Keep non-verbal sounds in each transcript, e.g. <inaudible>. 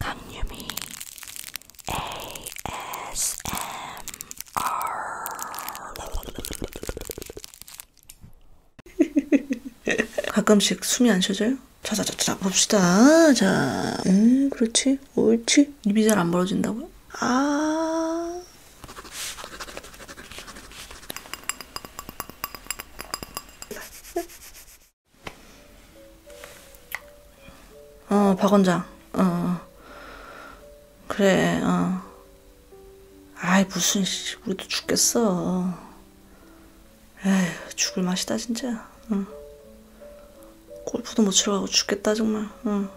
강유미 ASMR 가끔씩 숨이 안 쉬어져요? 자자자자 봅시다. 자, 음, 그렇지. 옳지, 옳지. 입이 잘 안 벌어진다고요? 아. 어, 박원장. 어. 그래, 어. 아이, 무슨, 씨, 우리도 죽겠어. 에휴, 죽을 맛이다, 진짜. 응. 골프도 못 치러 가고 죽겠다 정말 응.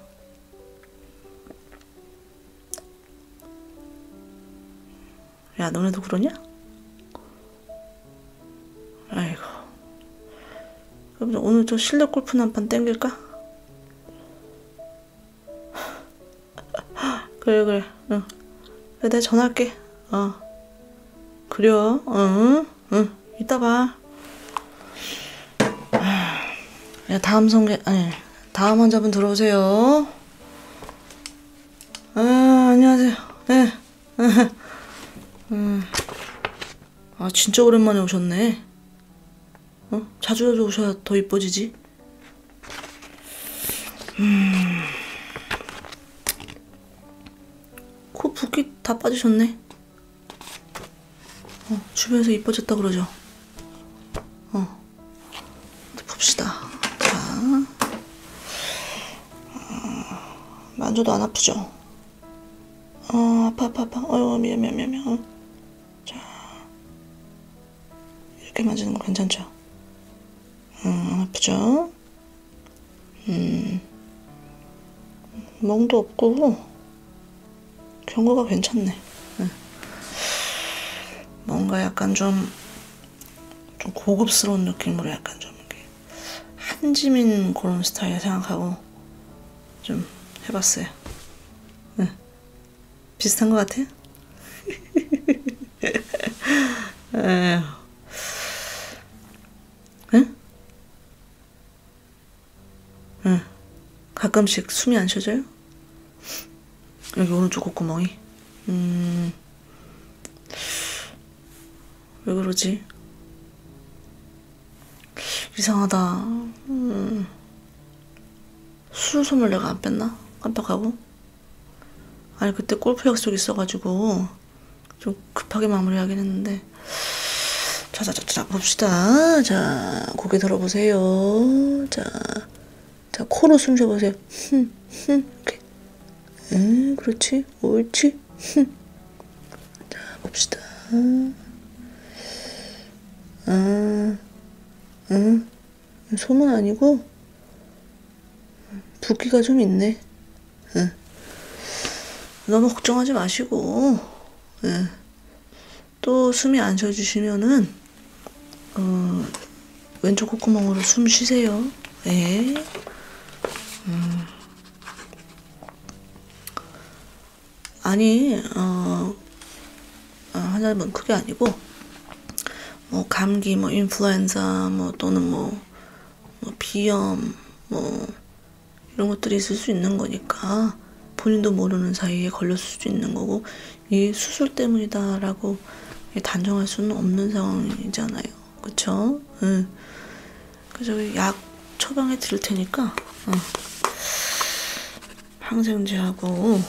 야 너네도 그러냐? 아이고 그럼 오늘 좀 실내 골프 한판 땡길까? <laughs> 그래 그래 응. 그래 내가 전화할게 어 그려 응 응, 이따 봐. 아, 야, 다음 성게, 아니, 다음 환자분 들어오세요. 아, 안녕하세요. 네. <laughs> 음. 아, 진짜 오랜만에 오셨네. 어? 자주 자주 오셔야 더 이뻐지지? 음. 코 붓기 다 빠지셨네. 어, 주변에서 이뻐졌다 그러죠? 어. 봅시다. 자. 어, 만져도 안 아프죠? 어, 아파, 아파, 아파. 어휴, 미안, 미안, 미안, 미안. 어. 자. 이렇게 만지는 거 괜찮죠? 어, 음, 안 아프죠? 음, 멍도 없고 경과가 괜찮네. 네. 뭔가 약간 좀, 좀 고급스러운 느낌으로 약간 좀 한지민 그런 스타일 생각하고 좀 해봤어요. 네. 비슷한 것 같아요? <laughs> 에휴. 네? 응. 가끔씩 숨이 안 쉬어져요? 여기 오른쪽 콧구멍이. 음. 왜 그러지? 이상하다. 음. 수술 선물 내가 안 뺐나? 깜빡하고. 아니, 그때 골프 약속 있어가지고 좀 급하게 마무리하긴 했는데 자자자자 봅시다 자 고개 들어보세요 자, 자 코로 숨 쉬어보세요 흠, 흠, 이렇게 음 그렇지 옳지 흠. 자 봅시다 아, 응 아, 음, 소문 아니고 음, 붓기가 좀 있네 예. 너무 걱정하지 마시고 예. 또 숨이 안 쉬어지시면은 어, 왼쪽 콧구멍으로 숨 쉬세요. 예. 음. 아니 어, 아, 하나는 뭐 크게 아니고 뭐 감기 뭐 인플루엔자 뭐 또는 뭐, 뭐 비염 뭐 이런 것들이 있을 수 있는 거니까 본인도 모르는 사이에 걸렸을 수도 있는 거고 이게 수술 때문이다 라고 단정할 수는 없는 상황이잖아요 그쵸? 응. 그래서 약 처방해 드릴 테니까 응. 항생제하고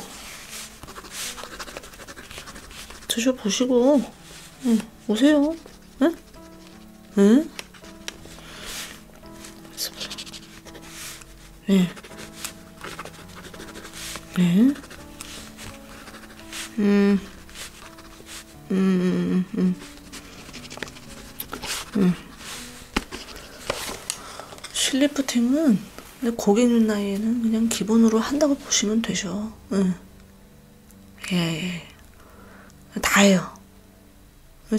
드셔보시고 응, 오세요 응? 네. 응? 네. 네. 음. 음. 음. 음. 실리프팅은 고객님 나이에는 그냥 기본으로 한다고 보시면 되죠. 응. 예. 예. 다 해요.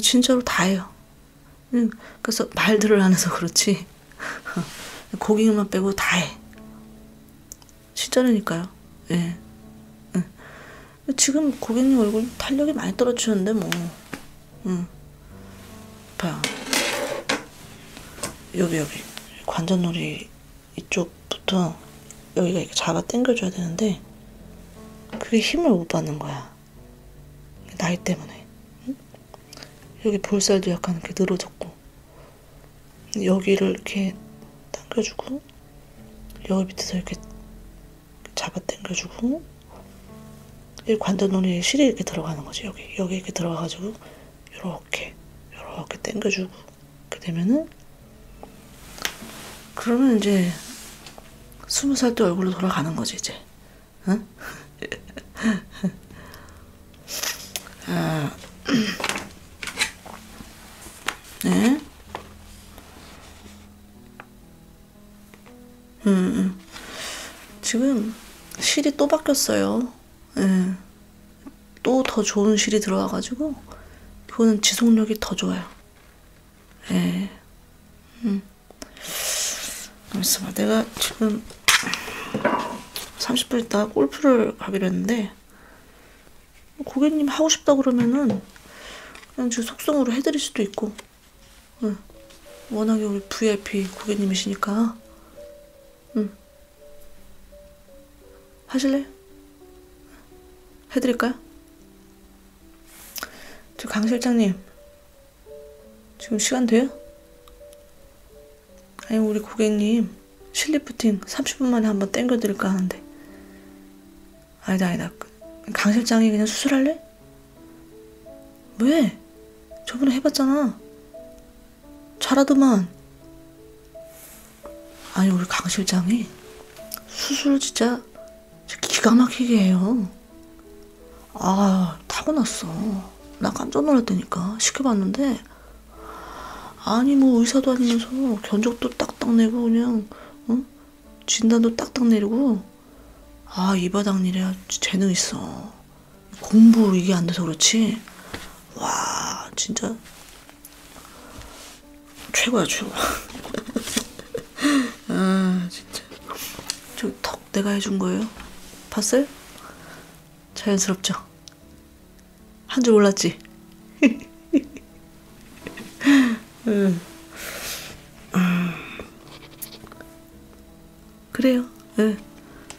진짜로 다예요. 그래서 말들을 안 해서 그렇지. <laughs> 고기만 빼고 다해. 진짜라니까요. 예. 예. 지금 고객님 얼굴 탄력이 많이 떨어지는데 뭐. 응. 봐요. 여기 여기 관자놀이 이쪽부터 여기가 이렇게 잡아 당겨줘야 되는데 그게 힘을 못 받는 거야. 나이 때문에. 응? 여기 볼살도 약간 이렇게 늘어졌고 여기를 이렇게 당겨주고 여기 밑에서 이렇게 잡아 당겨주고 이 관자놀이 실이 이렇게 들어가는 거지 여기 여기 이렇게 들어가가지고 이렇게 이렇게 당겨주고 이렇게 되면은 그러면 이제 스무 살 때 얼굴로 돌아가는 거지 이제. 응? <laughs> 아, 네. 음, 음. 지금 실이 또 바뀌었어요. 예. 또 더 좋은 실이 들어와가지고 그거는 지속력이 더 좋아요. 예. 음. 잠시만, 내가 지금 30분 있다 골프를 가기로 했는데, 고객님 하고 싶다 그러면은, 그냥 제 속성으로 해드릴 수도 있고, 응. 예. 워낙에 우리 VIP 고객님이시니까, 응. 음. 하실래요? 해드릴까요? 저강 실장님 지금 시간 돼요? 아니 우리 고객님 실리프팅 30분 만에 한번 땡겨드릴까 하는데 아니다 아니다 강 실장이 그냥 수술할래? 왜? 저번에 해봤잖아 잘하더만 아니 우리 강 실장이 수술 진짜 기가 막히게 해요. 아, 타고났어. 나 깜짝 놀랐다니까. 시켜봤는데, 아니, 뭐, 의사도 아니면서 견적도 딱딱 내고, 그냥, 응? 진단도 딱딱 내리고, 아, 이 바닥 일이야. 재능 있어. 공부 이게 안 돼서 그렇지. 와, 진짜. 최고야 최고. <laughs> 아 진짜. 저 턱 내가 해준 거예요. 봤어요? 자연스럽죠. 한 줄 몰랐지. 음. <laughs> 음. 그래요. 예,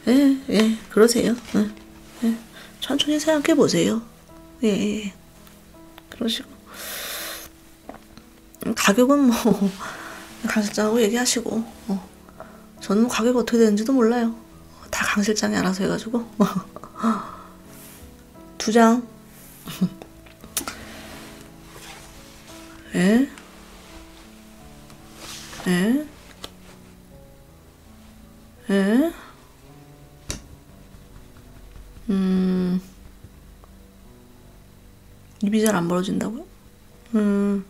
예, 예, 그러세요. 예, 예. 천천히 생각해 보세요. 예, 예, 예, 그러시고. 가격은 뭐 <laughs> 강실장하고 얘기하시고 어. 저는 뭐 가격 어떻게 되는지도 몰라요. 다 강실장이 알아서 해가지고 <laughs> 두 장. 에? 에? 에? 음. 입이 잘 안 벌어진다고요? 음.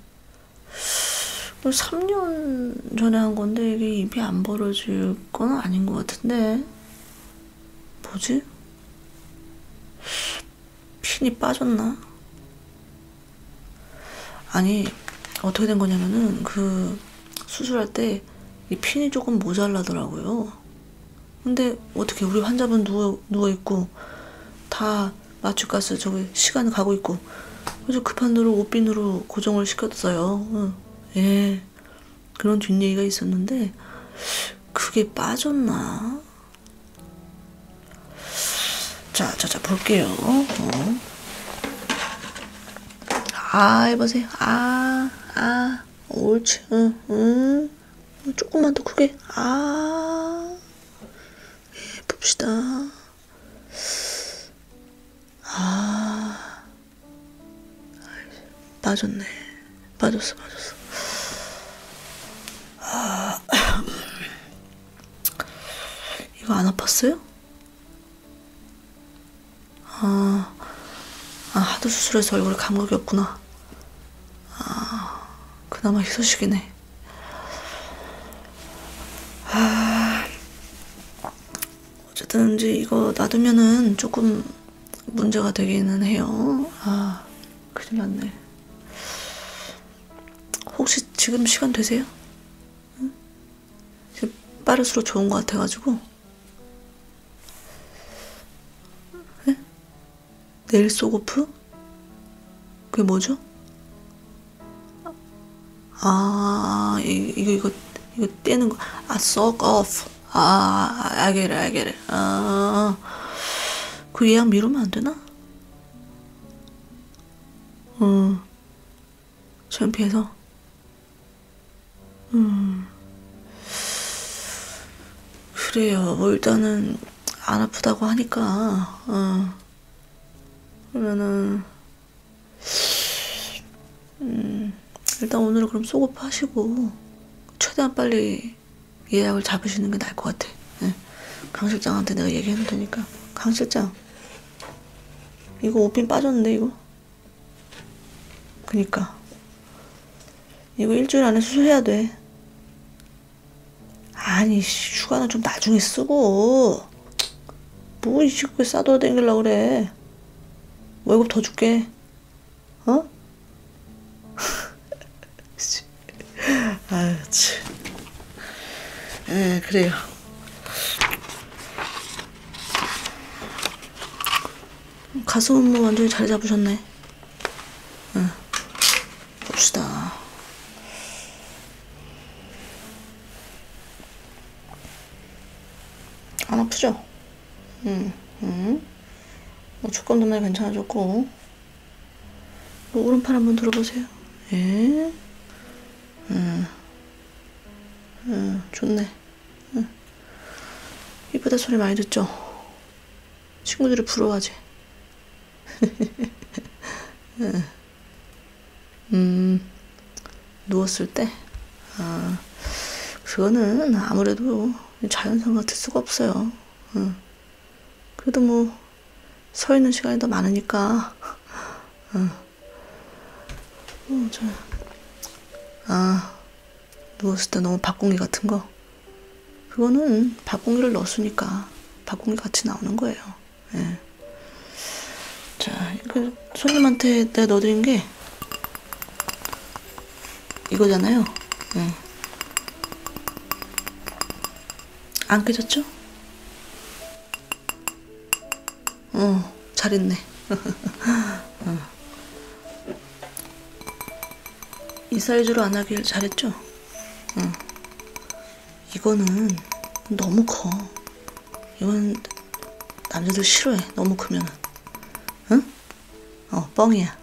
3년 뭐 전에 한 건데 이게 입이 안 벌어질 건 아닌 것 같은데. 뭐지? 핀이 빠졌나? 아니, 어떻게 된 거냐면은 그 수술할 때 이 핀이 조금 모자라더라고요. 근데 어떻게 우리 환자분 누워, 누워있고 다 마취가스 저기 시간 가고 있고 그래서 급한대로 옷핀으로 고정을 시켰어요. 응. 예. 그런 뒷얘기가 있었는데 그게 빠졌나? 자, 자, 자, 볼게요. 어. 아, 해보세요. 아, 아. 옳지. 응, 응. 조금만 더 크게. 아. 예, 봅시다. 아. 빠졌네. 빠졌어, 빠졌어. 아. 이거 안 아팠어요? 아, 아 하도 수술해서 얼굴에 감각이 없구나. 아, 그나마 희소식이네. 아, 어쨌든 이제 이거 놔두면은 조금 문제가 되기는 해요. 아, 큰일 났네. 혹시 지금 시간 되세요? 응? 지금 빠를수록 좋은 것 같아가지고. 네? 네일 소고프? 그게 뭐죠? 아, 이, 이거, 이거, 이거 떼는 거. 아, 썩 off. 아, 알겠래, 알겠래. 아, 그 예약 미루면 안 되나? 어, 창피해서. 음. 그래요. 뭐 일단은 안 아프다고 하니까. 어. 그러면은 음, 일단 오늘은 그럼 소급 하시고 최대한 빨리 예약을 잡으시는 게 나을 것 같아. 네. 예. 강 실장한테 내가 얘기해 놓을 테니까. 강 실장. 이거 오핀 빠졌는데 이거? 그니까 이거 일주일 안에 수술해야 돼. 아니 휴가는 좀 나중에 쓰고 뭐이 시국에 싸돌아 댕길라 그래. 월급 더 줄게. 어? <laughs> 아유 참. 에 그래요. 가슴 운동 완전히 잘 잡으셨네. 응. 봅시다. 안 아프죠? 응, 응. 뭐 축검도 많이 괜찮아졌고. 뭐 오른팔 한번 들어보세요. 예. 응. 응, 좋네. 응. 이쁘다 소리 많이 듣죠? 친구들이 부러워하지. <laughs> 응. 음, 누웠을 때? 아, 그거는 아무래도 자연상 같을 수가 없어요. 응. 그래도 뭐, 서 있는 시간이 더 많으니까. 응. 어, 저, 아, 누웠을 때 너무 밥공기 같은 거. 그거는 밥공기를 넣었으니까 밥공기 같이 나오는 거예요. 예. 자, 그 손님한테 내가 넣어드린 게 이거잖아요. 예. 안 깨졌죠? 어, 잘했네. <laughs> 어. 이 사이즈로 안 하길 잘했죠? 응. 이거는 너무 커. 이건 남자들 싫어해. 너무 크면은. 응? 어, 뻥이야. <laughs>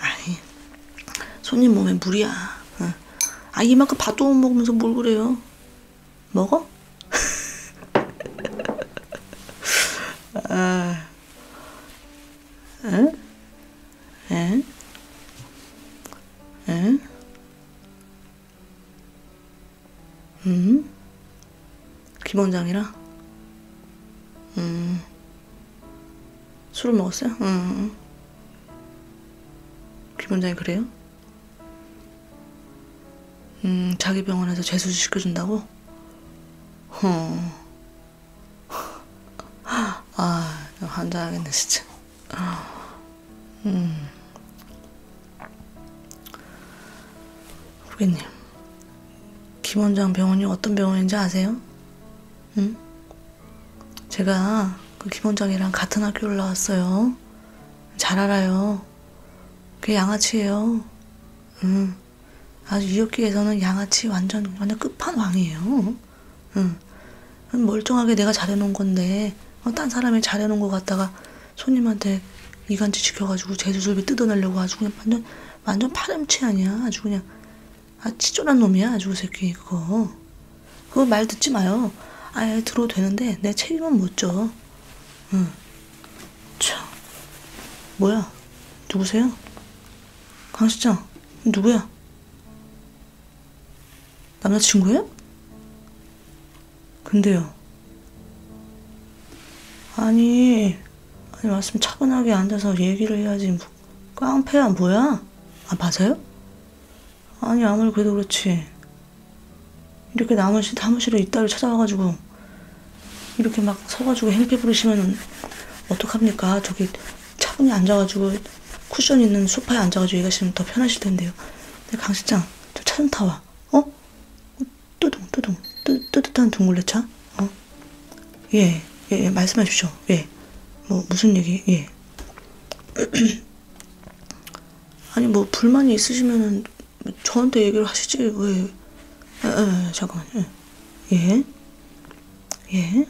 아이, 손님 몸에 물이야. 응. 아, 이만큼 밥도 못 먹으면서 뭘 그래요? 먹어? <laughs> 아, 응? 응? 응? 음? 김원장이라? 음. 술을 먹었어요? 응. 음. 김원장이 그래요? 음, 자기 병원에서 재수술 시켜준다고? 어. 아, 환장하겠네, 진짜. 음. 고객님, 김 원장 병원이 어떤 병원인지 아세요? 응? 제가 그김 원장이랑 같은 학교 올라왔어요. 잘 알아요. 그게 양아치예요. 응. 아주 이웃기에서는 양아치 완전 완전 끝판왕이에요. 응. 멀쩡하게 내가 잘해놓은 건데 어, 딴 사람이 잘해놓은 거 갖다가 손님한테 이간질 시켜가지고 제주술비 뜯어내려고 아주 그냥 완전 완전 파렴치 아니야. 아주 그냥 아 치졸한 놈이야. 아주 그 새끼 그거. 그거 말 듣지 마요. 아예 들어도 되는데 내 책임은 못 져. 응. 참, 뭐야? 누구세요? 강 시장, 누구야? 남자친구예요? 근데요. 아니, 아니 말씀 차분하게 앉아서 얘기를 해야지. 뭐, 깡패야 뭐야? 아 맞아요? 아니 아무리 그래도 그렇지. 이렇게 남무실 사무실에 이따를 찾아와가지고 이렇게 막 서가지고 행패 부리시면은 어떡합니까? 저기 차분히 앉아가지고 쿠션 있는 소파에 앉아가지고 얘기하시면 더 편하실 텐데요. 강 실장, 저차좀 타와. 어? 뚜둥, 뚜둥, 뜨, 뜨뜻한 둥글레 차? 어? 예, 예, 예, 말씀하십시오. 예. 뭐, 무슨 얘기? 예. <clears throat> 아니, 뭐, 불만이 있으시면은 저한테 얘기를 하시지 왜? 에, 아, 에, 아, 잠깐만요. 예. 예, 예,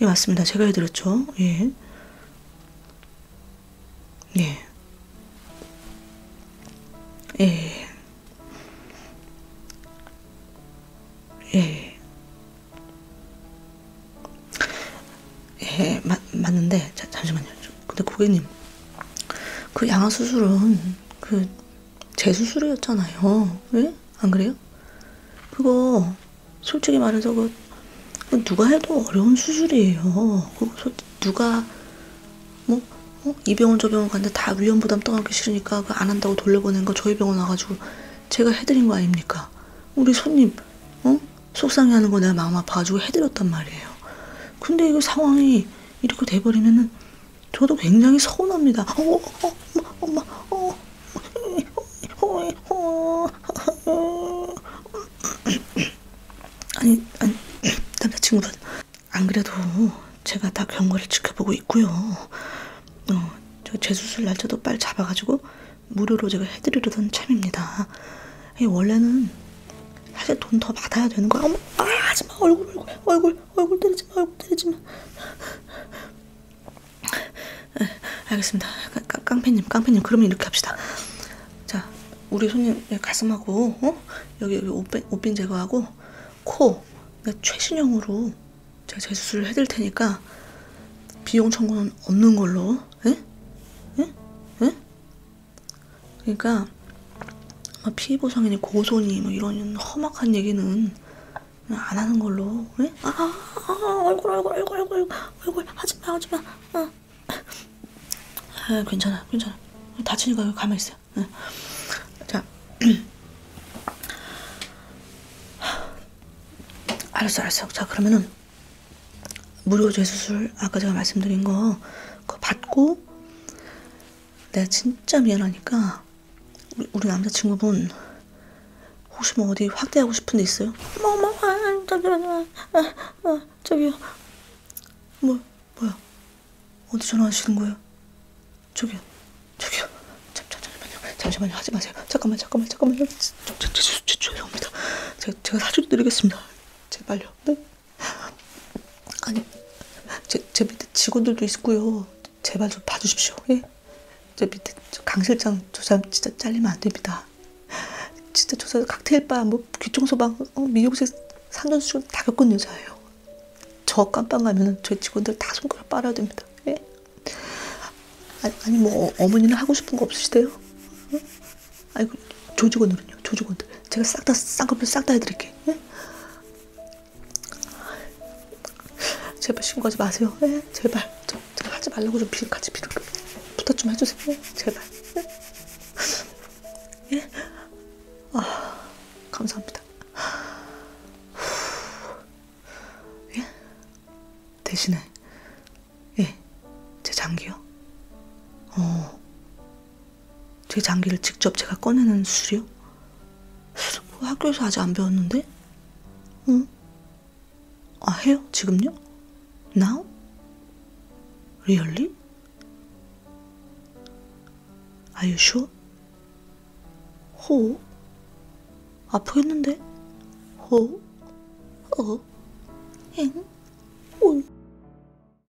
예 맞습니다. 제가 해드렸죠. 예, 예, 예, 예, 예, 맞 맞는데 자, 잠시만요. 근데 고객님, 그 양아 수술은 그제 수술이었잖아요. 예? 안 그래요? 그거 솔직히 말해서 그 누가 해도 어려운 수술이에요. 그거 누가 뭐 어? 이 병원 저 병원 갔는데 다 위험 부담 떠안기 싫으니까 그 안 한다고 돌려보낸 거 저희 병원 와가지고 제가 해드린 거 아닙니까? 우리 손님 어? 속상해하는 거 내가 마음 아파가지고 해드렸단 말이에요. 근데 이거 그 상황이 이렇게 돼버리면은 저도 굉장히 서운합니다. 어, 어, 엄마, 엄마, 어, 어, 어, 아니, 아니, 남자친구가 안 그래도 제가 다 경과를 지켜보고 있고요. 어, 저 재수술 날짜도 빨리 잡아가지고 무료로 제가 해드리려던 참입니다. 원래는 사실 돈 더 받아야 되는 거야. 어머, 아, 하지마. 얼굴, 얼굴, 얼굴, 얼굴 때리지 마. 얼굴 때리지 마. 네, 알겠습니다. 깡, 깡패님, 깡패님, 그러면 이렇게 합시다. 자, 우리 손님 가슴하고, 어? 여기, 여기 옷빈, 옷빈 제거하고, 코, 최신형으로 제가 재수술을 해드릴 테니까, 비용 청구는 없는 걸로, 예? 예? 예? 그러니까 피부 성인이 고소니 뭐 이런 험악한 얘기는 안 하는 걸로 그래? 아, 아, 아 얼굴 얼굴 얼굴 얼굴 얼굴 하지마 하지마 어. 아, 괜찮아 괜찮아 다치니까 가만히 있어 네. 자 <clears throat> 알았어 알았어 자 그러면은 무료 재수술 아까 제가 말씀드린 거 그거 받고 내가 진짜 미안하니까 우리, 우리 남자친구분 혹시 뭐 어디 확대하고 싶은 데 있어요? 뭐뭐 뭐, 아, 저기요 아, 아, 아, 저기요 뭐 뭐야 어디 전화하시는 거예요? 저기요 저기요 잠, 잠, 잠시만요 잠시만요 하지 마세요 잠깐만 잠깐만 잠깐만요 저, 저, 저, 저, 죄송합니다 제가, 제가 사주도 드리겠습니다 제발요 네? 아니, 제, 제 밑에 직원들도 있고요. 제발 좀 봐주십시오. 예? 저 밑에 강 실장 저 사람 진짜 잘리면 안 됩니다. 진짜 저 사람 칵테일바, 뭐 귀청소방, 어, 미용실 산전수전 다 겪은 여자예요. 저 깜빵 가면은 저희 직원들 다 손가락 빨아야 됩니다. 예? 아니, 아니 뭐 어, 머니는 하고 싶은 거 없으시대요? 응? 아니 그 조직원들은요? 조직원들 제가 싹 다 쌍꺼풀 싹 다 해드릴게. 예? 제발 신고하지 마세요. 예? 제발 저, 제가 하지 말라고 좀 비, 같이 비를 부탁 좀 해주세요. 예? 제발. 예? 예? 아 감사합니다. 예? 대신에 예? 제 장기요? 어. 제 장기를 직접 제가 꺼내는 수술이요? 수술 뭐 학교에서 아직 안 배웠는데? 응? 아 해요? 지금요? Now? Really? Are you sure? 호? 아프겠는데? 호? 어? 엥? 올? 어?